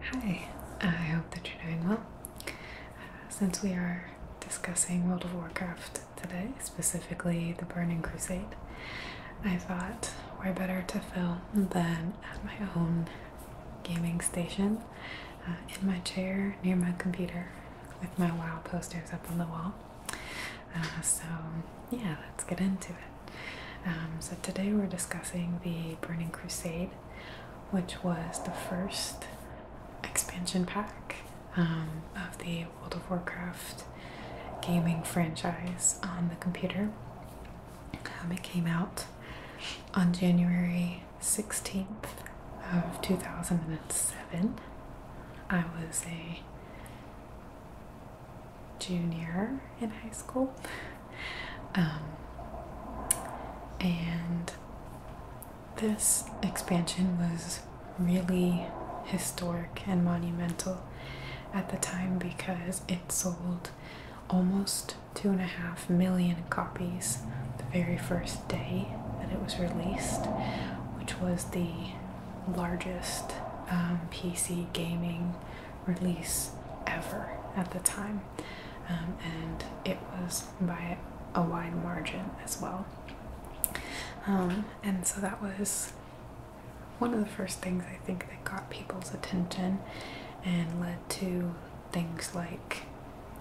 Hi, I hope that you're doing well. Uh, since we are discussing World of Warcraft today, specifically the Burning Crusade, I thought we're better to film than at my own gaming station uh, in my chair near my computer with my WoW posters up on the wall. Uh, so, yeah, let's get into it. Um, so today we're discussing the Burning Crusade, which was the first expansion pack um, of the World of Warcraft gaming franchise on the computer. Um, it came out on January 16th of 2007. I was a junior in high school. Um, and this expansion was really historic and monumental at the time because it sold almost two and a half million copies the very first day that it was released, which was the largest um, PC gaming release ever at the time. Um, and it was by a wide margin as well. Um, and so that was one of the first things I think that got people's attention and led to things like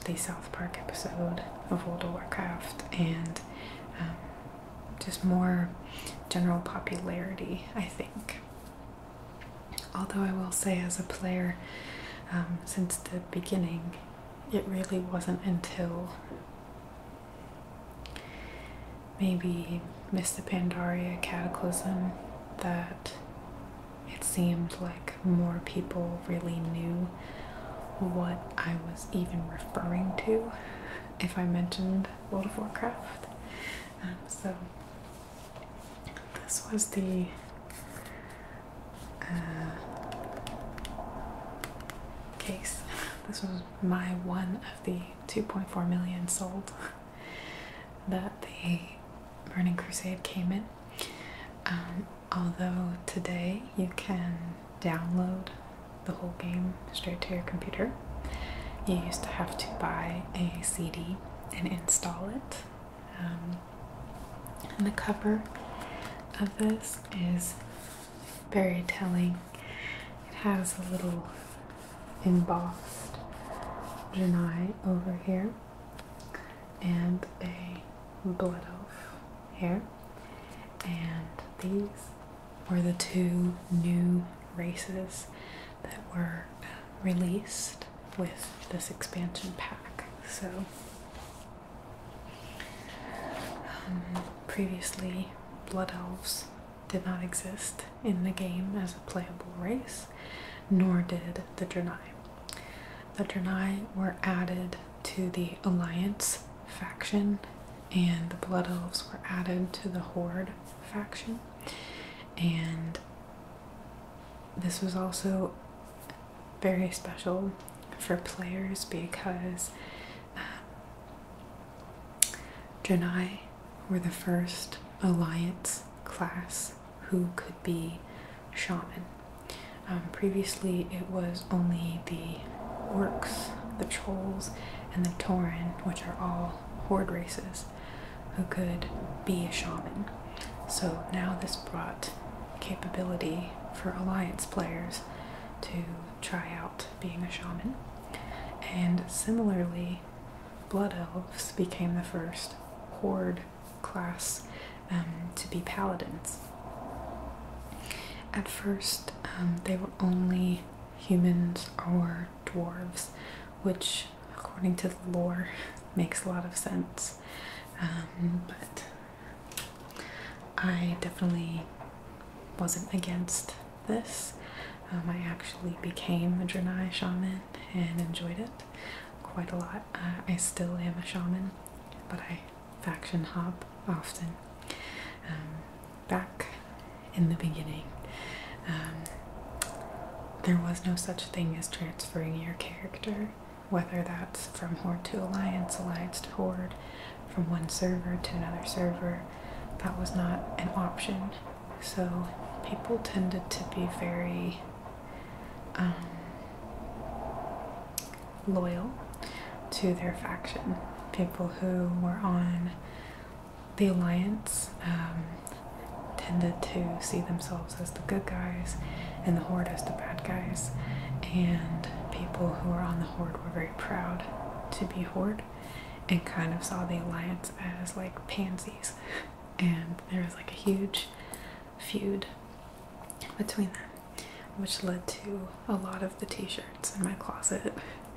the South Park episode of World of Warcraft and um, just more general popularity, I think. Although I will say, as a player, um, since the beginning, it really wasn't until maybe Mr. Pandaria Cataclysm that it seemed like more people really knew what I was even referring to if I mentioned World of Warcraft. Um, so this was the uh, case. This was my one of the 2.4 million sold that the Burning Crusade came in. Um, although today you can download the whole game straight to your computer. You used to have to buy a CD and install it. Um, and the cover of this is very telling. It has a little embossed Janai over here and a blood oath here. And these were the two new races that were uh, released with this expansion pack. So, um, previously, Blood Elves did not exist in the game as a playable race, nor did the Draenei. The Draenei were added to the Alliance faction, and the Blood Elves were added to the Horde faction. And this was also very special for players because um, were the first alliance class who could be shaman. Um, previously, it was only the orcs, the trolls, and the tauren, which are all horde races who could be a shaman. So now this brought capability for alliance players to try out being a shaman. And similarly, Blood Elves became the first horde class um, to be paladins. At first, um, they were only humans or dwarves, which according to the lore, makes a lot of sense. Um, but I definitely wasn't against this. Um, I actually became a Draenei shaman and enjoyed it quite a lot. Uh, I still am a shaman, but I faction hop often. Um, back in the beginning, there was no such thing as transferring your character, whether that's from Horde to Alliance, Alliance to Horde, from one server to another server. That was not an option. So people tended to be very um, loyal to their faction. People who were on the Alliance um, tended to see themselves as the good guys and the Horde as the bad guys, and people who were on the Horde were very proud to be Horde and kind of saw the Alliance as like pansies. And there was like a huge feud between them, which led to a lot of the t shirts in my closet,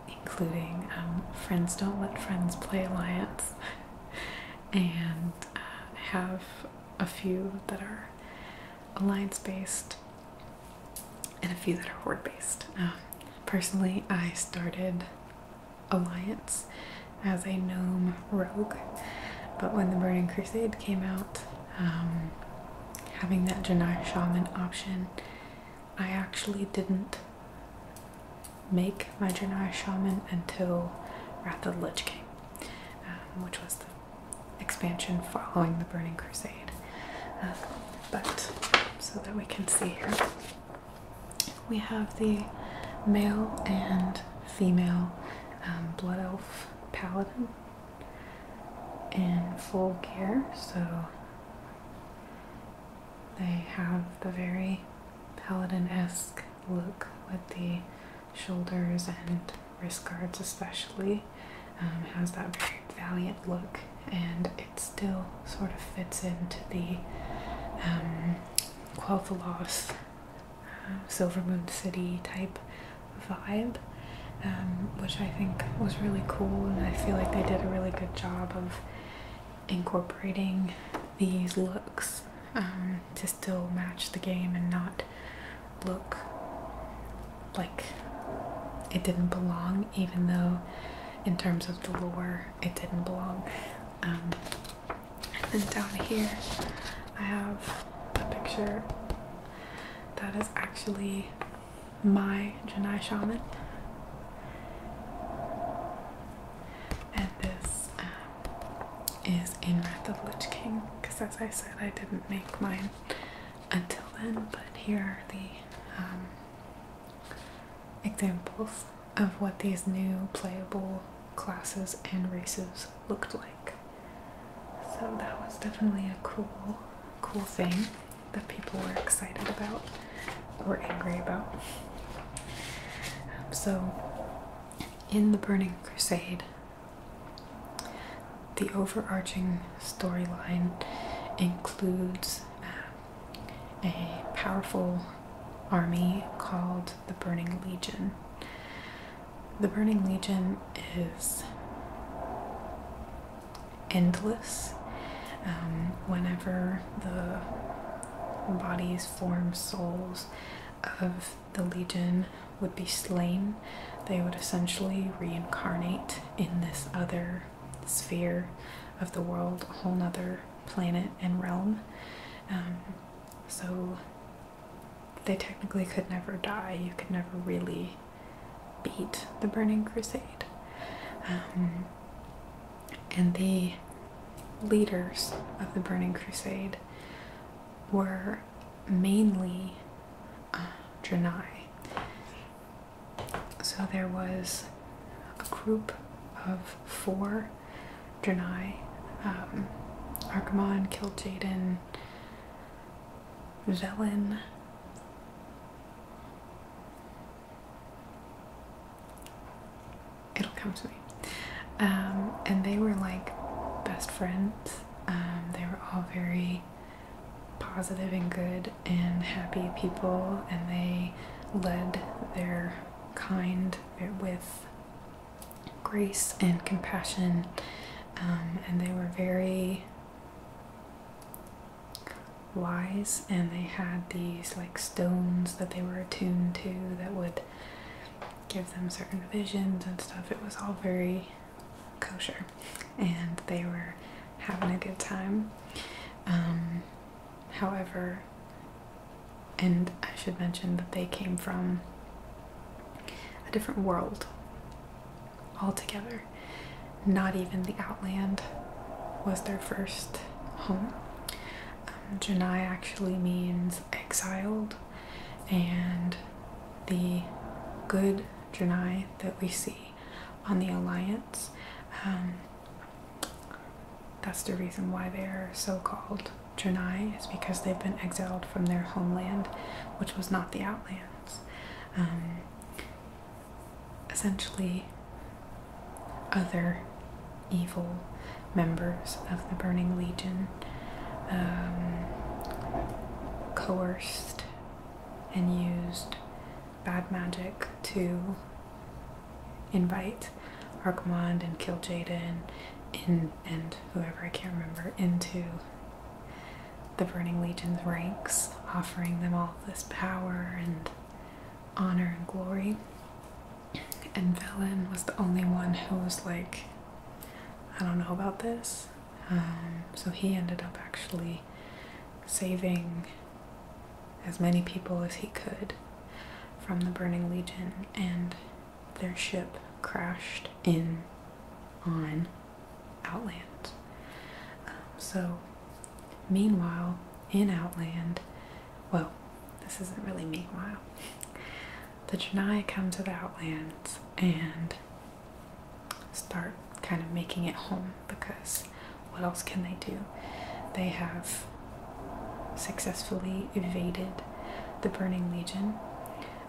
including um, Friends Don't Let Friends Play Alliance and uh, have a few that are alliance based and a few that are horde based. Uh, personally, I started Alliance as a gnome rogue, but when the Burning Crusade came out, um, having that Janai Shaman option, I actually didn't make my Shaman until Wrath of the Lich King, um, which was the expansion following the Burning Crusade. Um, but so that we can see here, we have the male and female um, Blood Elf Paladin in full gear. So they have the very paladin-esque look with the shoulders and wrist guards especially um, has that very valiant look and it still sort of fits into the um, Quel'Thalas uh, Silver Moon City type vibe um, which I think was really cool and I feel like they did a really good job of incorporating these looks uh-huh. to still match the game and not look like it didn't belong, even though in terms of the lore it didn't belong. Um, and then down here I have a picture that is actually my Janai shaman and this um, is in Wrath of Lich King because as I said I didn't make mine until then but here are the um, examples of what these new playable classes and races looked like so that was definitely a cool cool thing that people were excited about we're angry about. so, in the Burning Crusade, the overarching storyline includes uh, a powerful army called the Burning Legion. The Burning Legion is endless. Um, whenever the bodies, forms, souls of the Legion would be slain, they would essentially reincarnate in this other sphere of the world, a whole other planet and realm. Um, so they technically could never die, you could never really beat the Burning Crusade. Um, and the leaders of the Burning Crusade were mainly uh, So there was a group of four Janai. Um, Archimon killed Jaden, Velen, It'll come to me. Um, and they were like best friends. Um, they were all very positive and good and happy people, and they led their kind with grace and compassion. Um, and they were very wise and they had these like stones that they were attuned to that would give them certain visions and stuff it was all very kosher and they were having a good time um, however and i should mention that they came from a different world altogether not even the outland was their first home um, actually means exiled, and the good Janai that we see on the Alliance, um, that's the reason why they are so called Janai, is because they've been exiled from their homeland, which was not the Outlands. Um, essentially, other evil members of the Burning Legion um, coerced and used bad magic to invite Archimond and kill Jaden in, and whoever I can't remember into the Burning Legion's ranks, offering them all this power and honor and glory and Velen was the only one who was like, I don't know about this. Um, so he ended up actually saving as many people as he could from the Burning Legion, and their ship crashed in on Outland. Um, so Meanwhile, in Outland, well, this isn't really meanwhile, the Janai come to the Outlands and start kind of making it home because what else can they do? They have successfully evaded the Burning Legion.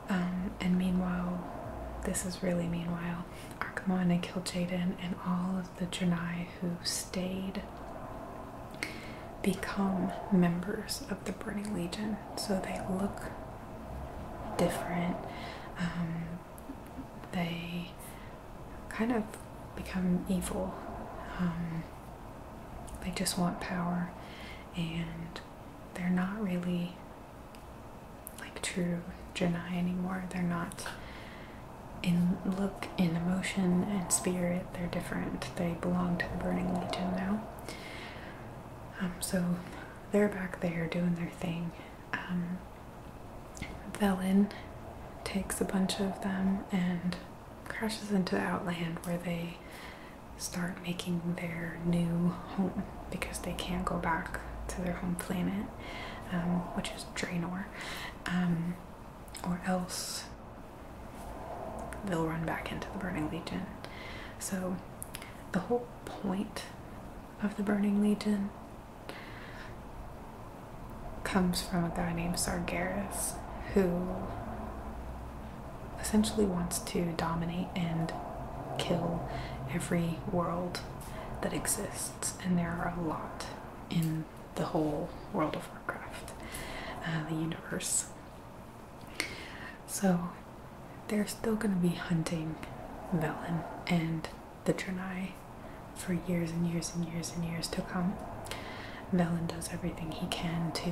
Um, and meanwhile, this is really meanwhile, they and Jaden and all of the Janai who stayed become members of the Burning Legion. So they look different. Um, they kind of become evil. Um, they just want power and they're not really like true Janai anymore. They're not in look, in emotion, and spirit, they're different. They belong to the Burning Legion now. Um, so they're back there doing their thing. Um, takes a bunch of them and crashes into the Outland where they start making their new home because they can't go back to their home planet, um, which is Draenor. Um, or else they'll run back into the Burning Legion. So, the whole point of the Burning Legion comes from a guy named Sargeras who essentially wants to dominate and kill every world that exists, and there are a lot in the whole World of Warcraft, uh, the universe. So they're still going to be hunting Velen and the Draenei for years and years and years and years to come. Velen does everything he can to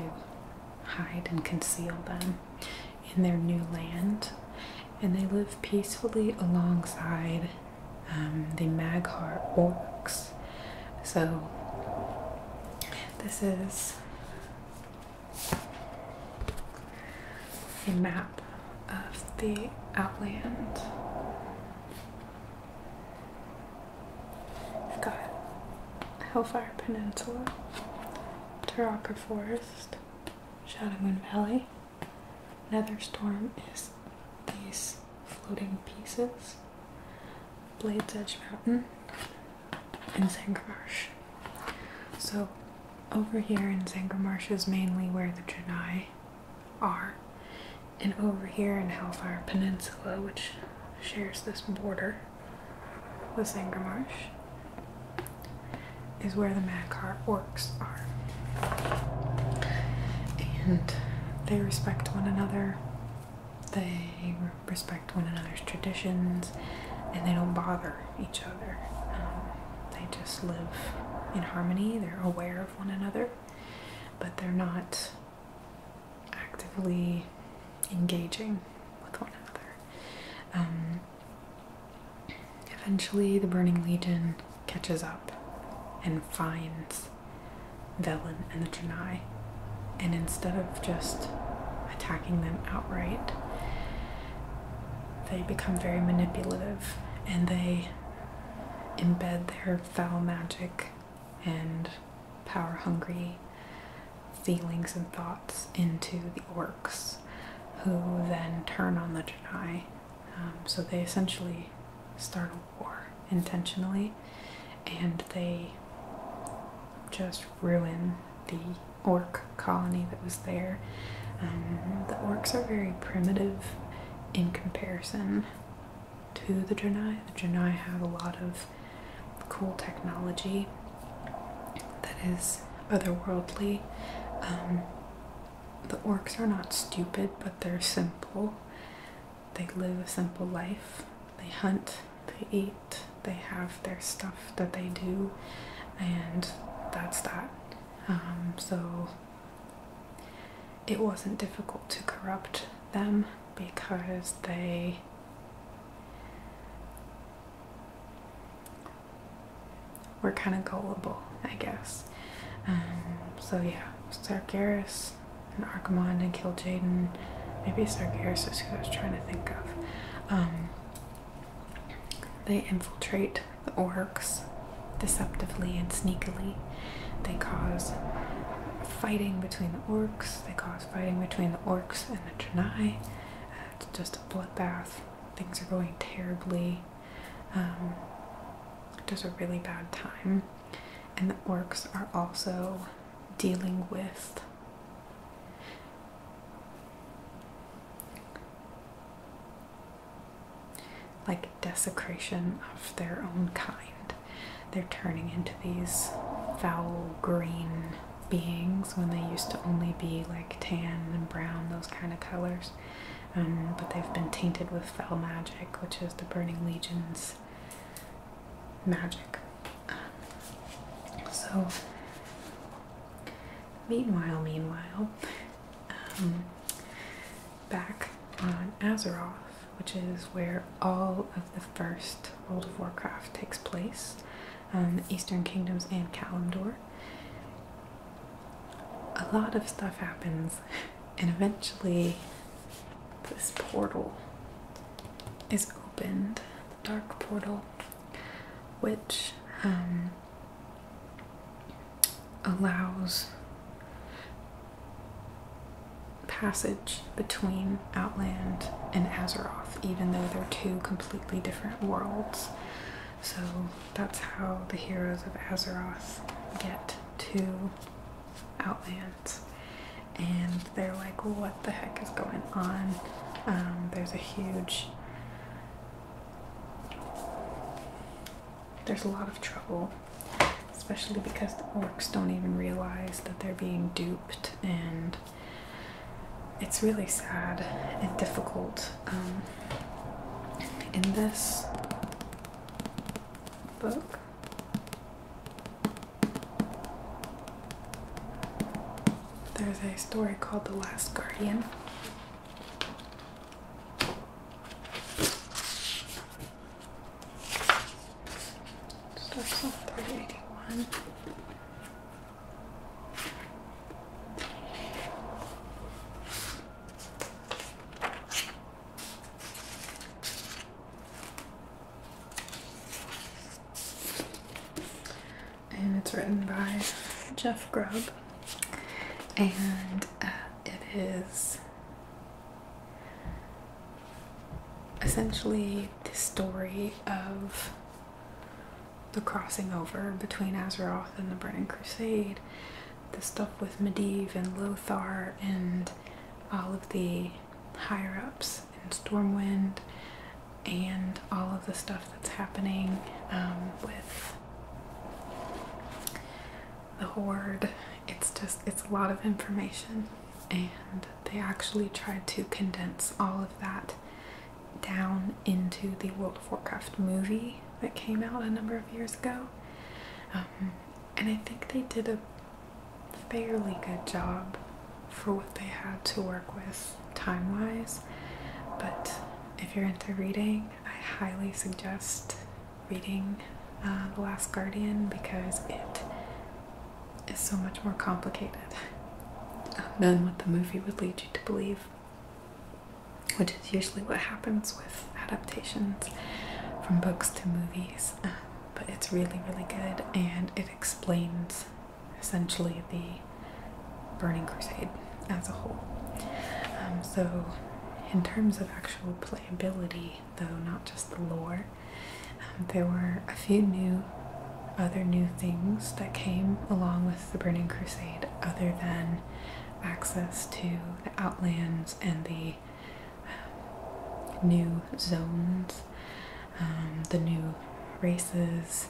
hide and conceal them in their new land, and they live peacefully alongside um, the Maghar orcs. So this is a map of the outland. We've got Hellfire Peninsula, Taraka Forest, Shadowmoon Valley. Netherstorm. is these floating pieces, Blades Edge Mountain, and Zangarmarsh. So, over here in Zangarmarsh is mainly where the Janai are, and over here in Hellfire Peninsula, which shares this border with Zangarmarsh, is where the Madcar orcs are. And they respect one another, they respect one another's traditions, and they don't bother each other. Um, they just live in harmony, they're aware of one another, but they're not actively engaging with one another. Um, eventually, the Burning Legion catches up and finds Velen and the Janai. And instead of just attacking them outright, they become very manipulative and they embed their foul magic and power hungry feelings and thoughts into the orcs, who then turn on the Jedi um, so they essentially start a war intentionally and they just ruin the orc colony that was there. Um, the orcs are very primitive in comparison to the Janai. The Janai have a lot of cool technology that is otherworldly. Um, the orcs are not stupid, but they're simple. They live a simple life. They hunt, they eat, they have their stuff that they do, and that's that. Um, so it wasn't difficult to corrupt them because they were kind of gullible, I guess. Um, so yeah, Sargeras and Archimon and kill Jaden. Maybe it's Arceus who I was trying to think of. Um, they infiltrate the orcs deceptively and sneakily. They cause fighting between the orcs. They cause fighting between the orcs and the Janai. it's just a bloodbath. Things are going terribly. Um, just a really bad time and the orcs are also dealing with like desecration of their own kind. They're turning into these foul green beings when they used to only be like tan and brown, those kind of colors. Um, but they've been tainted with foul magic, which is the Burning Legion's magic. so, meanwhile, meanwhile, um, back on Azeroth, which is where all of the first World of Warcraft takes place, um, Eastern Kingdoms and Kalimdor. A lot of stuff happens and eventually this portal is opened the dark portal which um, allows passage between outland and azeroth even though they're two completely different worlds so that's how the heroes of azeroth get to Outlands, and they're like, "What the heck is going on?" Um, there's a huge, there's a lot of trouble, especially because the orcs don't even realize that they're being duped, and it's really sad and difficult. Um, in this book, there's a story called The Last Guardian. Starts off 381. And it's written by Jeff Grubb, and uh, it is essentially the story of the crossing over between Azeroth and the Burning Crusade the stuff with Medivh and Lothar and all of the higher ups and Stormwind and all of the stuff that's happening um, with the Horde. It's just, it's a lot of information, and they actually tried to condense all of that down into the World of Warcraft movie that came out a number of years ago. Um, and I think they did a fairly good job for what they had to work with time wise. But if you're into reading, I highly suggest reading uh, The Last Guardian because it is so much more complicated um, than what the movie would lead you to believe, which is usually what happens with adaptations from books to movies. but it's really, really good, and it explains essentially the Burning Crusade as a whole. Um, so, in terms of actual playability, though, not just the lore, um, there were a few new, other new things that came along with the Burning Crusade, other than access to the Outlands and the um, new zones, um, the new races,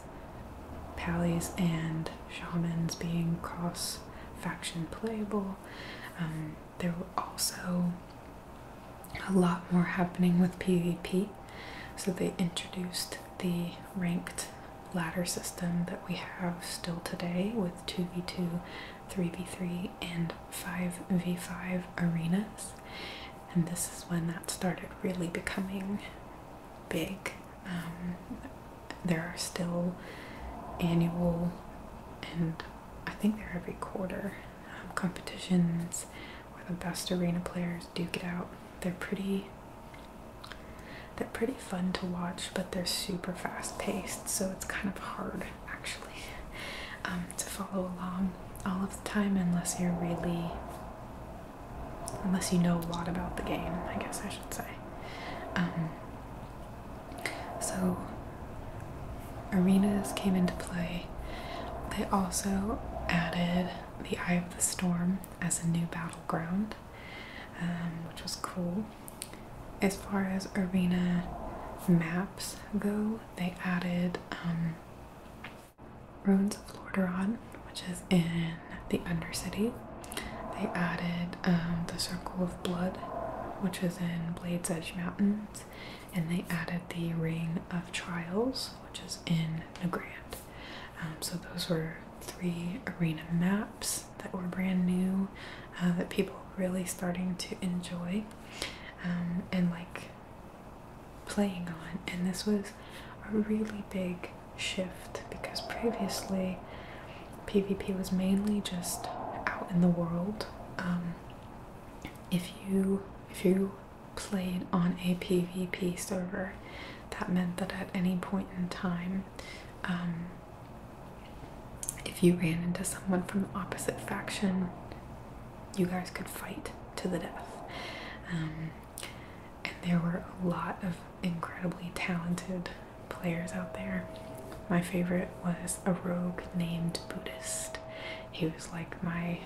Pallies and Shamans being cross faction playable. Um, there were also a lot more happening with PvP, so they introduced the ranked ladder system that we have still today with 2v2 3v3 and 5v5 arenas. And this is when that started really becoming big. Um, there are still annual and I think they're every quarter um, competitions where the best arena players do get out. They're pretty they're pretty fun to watch, but they're super fast paced, so it's kind of hard actually, um, to follow along all of the time unless you're really, unless you know a lot about the game, I guess I should say. Um, so, arenas came into play. They also added the Eye of the Storm as a new battleground, um, which was cool as far as arena maps go, they added um, Ruins of Lordaeron, which is in the Undercity. They added um, the Circle of Blood, which is in Blades Edge Mountains, and they added the Ring of Trials, which is in Nagrand. Um, so those were three arena maps that were brand new uh, that people were really starting to enjoy um, and like playing on. And this was a really big shift because previously PvP was mainly just out in the world. Um, if you if you played on a PvP server, that meant that at any point in time, um, if you ran into someone from the opposite faction, you guys could fight to the death. Um, and there were a lot of incredibly talented players out there. My favorite was a rogue named Buddhist. He was like my,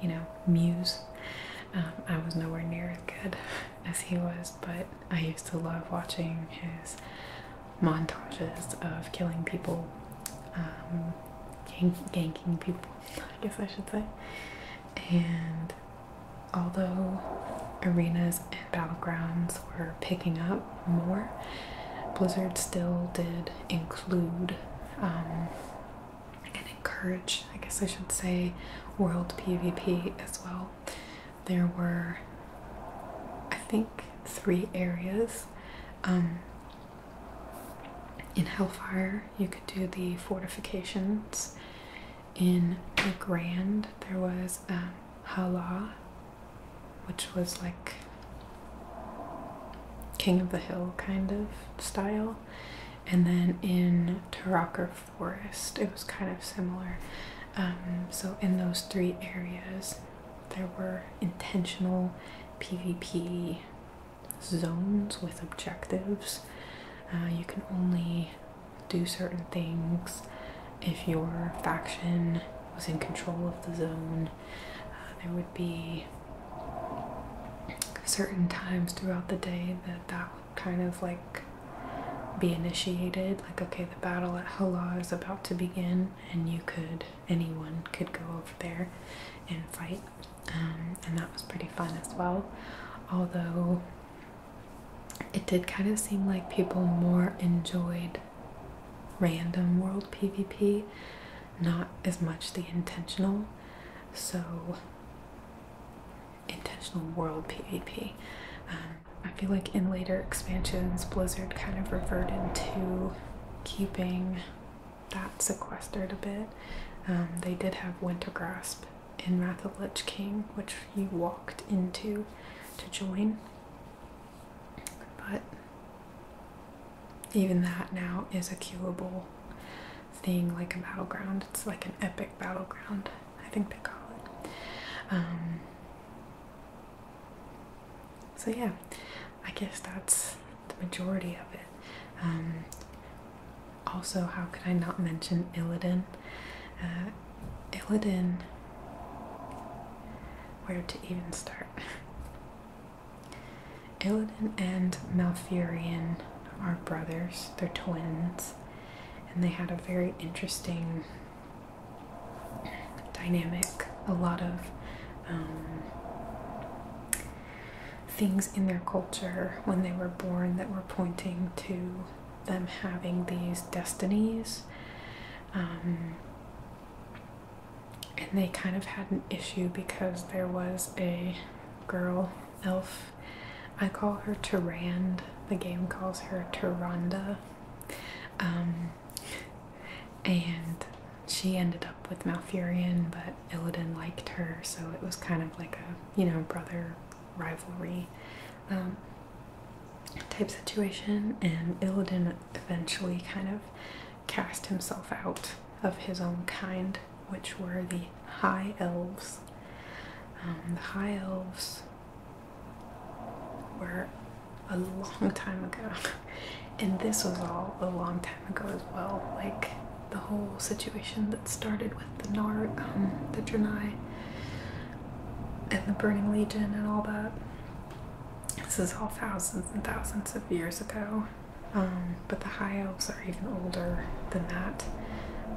you know, muse. Um, I was nowhere near as good as he was, but I used to love watching his montages of killing people, um, ganking people, I guess I should say. And although arenas and battlegrounds were picking up more, Blizzard still did include um, and encourage, I guess I should say, world PvP as well. There were, I think, three areas. Um, in Hellfire, you could do the fortifications. In the Grand, there was um, which was like King of the Hill kind of style. And then in Tarakar Forest, it was kind of similar. Um, so, in those three areas, there were intentional PvP zones with objectives. Uh, you can only do certain things if your faction was in control of the zone. Uh, there would be certain times throughout the day that that would kind of like be initiated like okay the battle at Hala is about to begin and you could anyone could go over there and fight um, and that was pretty fun as well although it did kind of seem like people more enjoyed random world PvP not as much the intentional so intentional world PvP I feel like in later expansions, Blizzard kind of reverted to keeping that sequestered a bit. Um, they did have Winter Grasp in Wrath of Lich King, which you walked into to join, but even that now is a queuable thing like a battleground. It's like an epic battleground, I think they call it. Um, so yeah, I guess that's the majority of it. Um, also, how could I not mention Illidan? Uh, Illidan, where to even start? Illidan and Malfurion are brothers, they're twins, and they had a very interesting dynamic, a lot of um, things in their culture when they were born that were pointing to them having these destinies. Um, and they kind of had an issue because there was a girl elf. I call her Tyrand. The game calls her Tyranda. Um, and she ended up with Malfurion, but Illidan liked her, so it was kind of like a, you know, brother rivalry um, type situation. And Illidan eventually kind of cast himself out of his own kind, which were the High Elves. Um, the High Elves were a long time ago. And this was all a long time ago as well. Like the whole situation that started with the Nar, um, the Janai, and the Burning Legion and all that. This is all thousands and thousands of years ago. Um, but the High Elves are even older than that.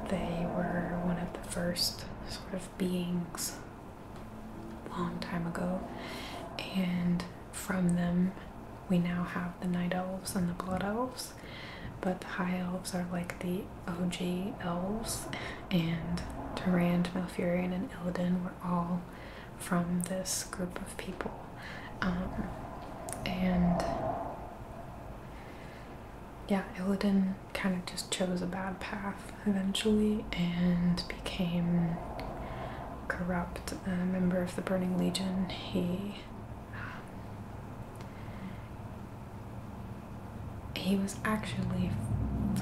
They were one of the first sort of beings long time ago and from them we now have the night elves and the blood elves but the high elves are like the og elves and Durand, Malfurion, and Illidan were all from this group of people um, and yeah, Illidan kind of just chose a bad path eventually and became corrupt, a member of the Burning Legion. He um, he was actually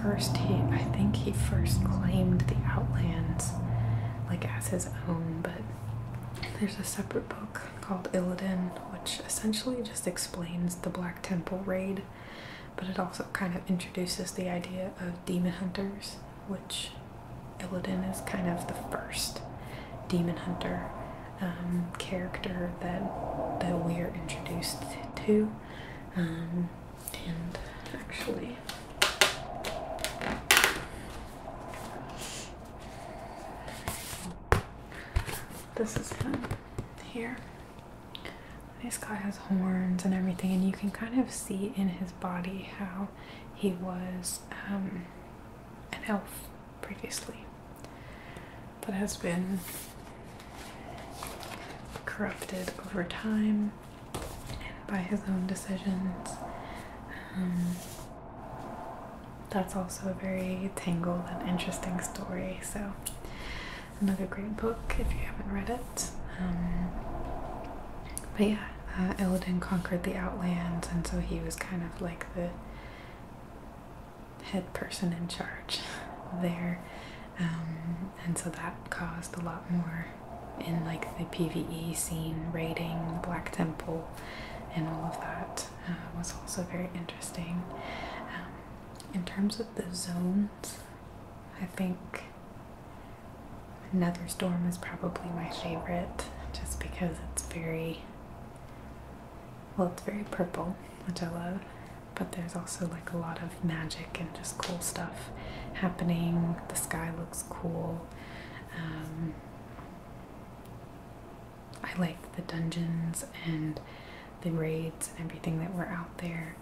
first he I think he first claimed the Outlands like as his own, but there's a separate book called Illidan, which essentially just explains the Black Temple raid but it also kind of introduces the idea of demon hunters, which Illidan is kind of the first demon hunter um, character that that we are introduced to. Um, and actually, this is him here. This guy has horns and everything, and you can kind of see in his body how he was um, an elf previously but has been corrupted over time and by his own decisions. Um, that's also a very tangled and interesting story, so another great book if you haven't read it. Um, but yeah, uh, Illidan conquered the Outlands, and so he was kind of like the head person in charge there. Um, and so that caused a lot more in like the PvE scene, raiding, the Black Temple, and all of that uh, was also very interesting. Um, in terms of the zone I think another storm is probably my favorite just because it's very, well, it's very purple, which I love, but there's also like a lot of magic and just cool stuff happening. The sky looks cool. Um, I like the dungeons and the raids and everything that were out there.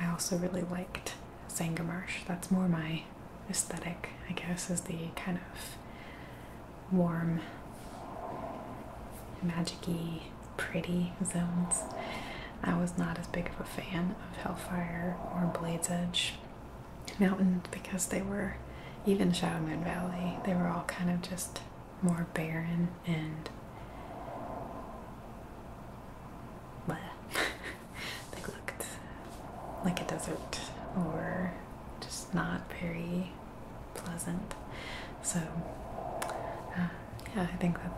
I also really liked Sangamarsh. That's more my aesthetic, I guess, is the kind of warm, magic pretty zones. I was not as big of a fan of Hellfire or Blade's Edge Mountain because they were, even Shadowmoon Valley, they were all kind of just more barren and like looked like a desert or just not very pleasant. So uh, yeah, I think that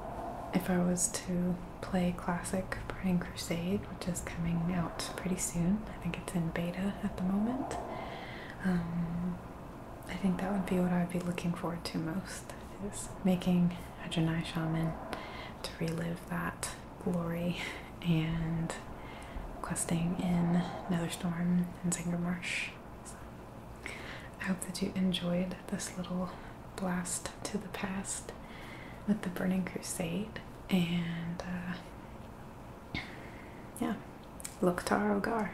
if I was to play classic Burning Crusade, which is coming out pretty soon, I think it's in beta at the moment. Um, I think that would be what I'd be looking forward to most next making a shaman to relive that glory and questing in Netherstorm and Zinger Marsh. So, I hope that you enjoyed this little blast to the past with the Burning Crusade and uh, yeah, Loktar Ogar.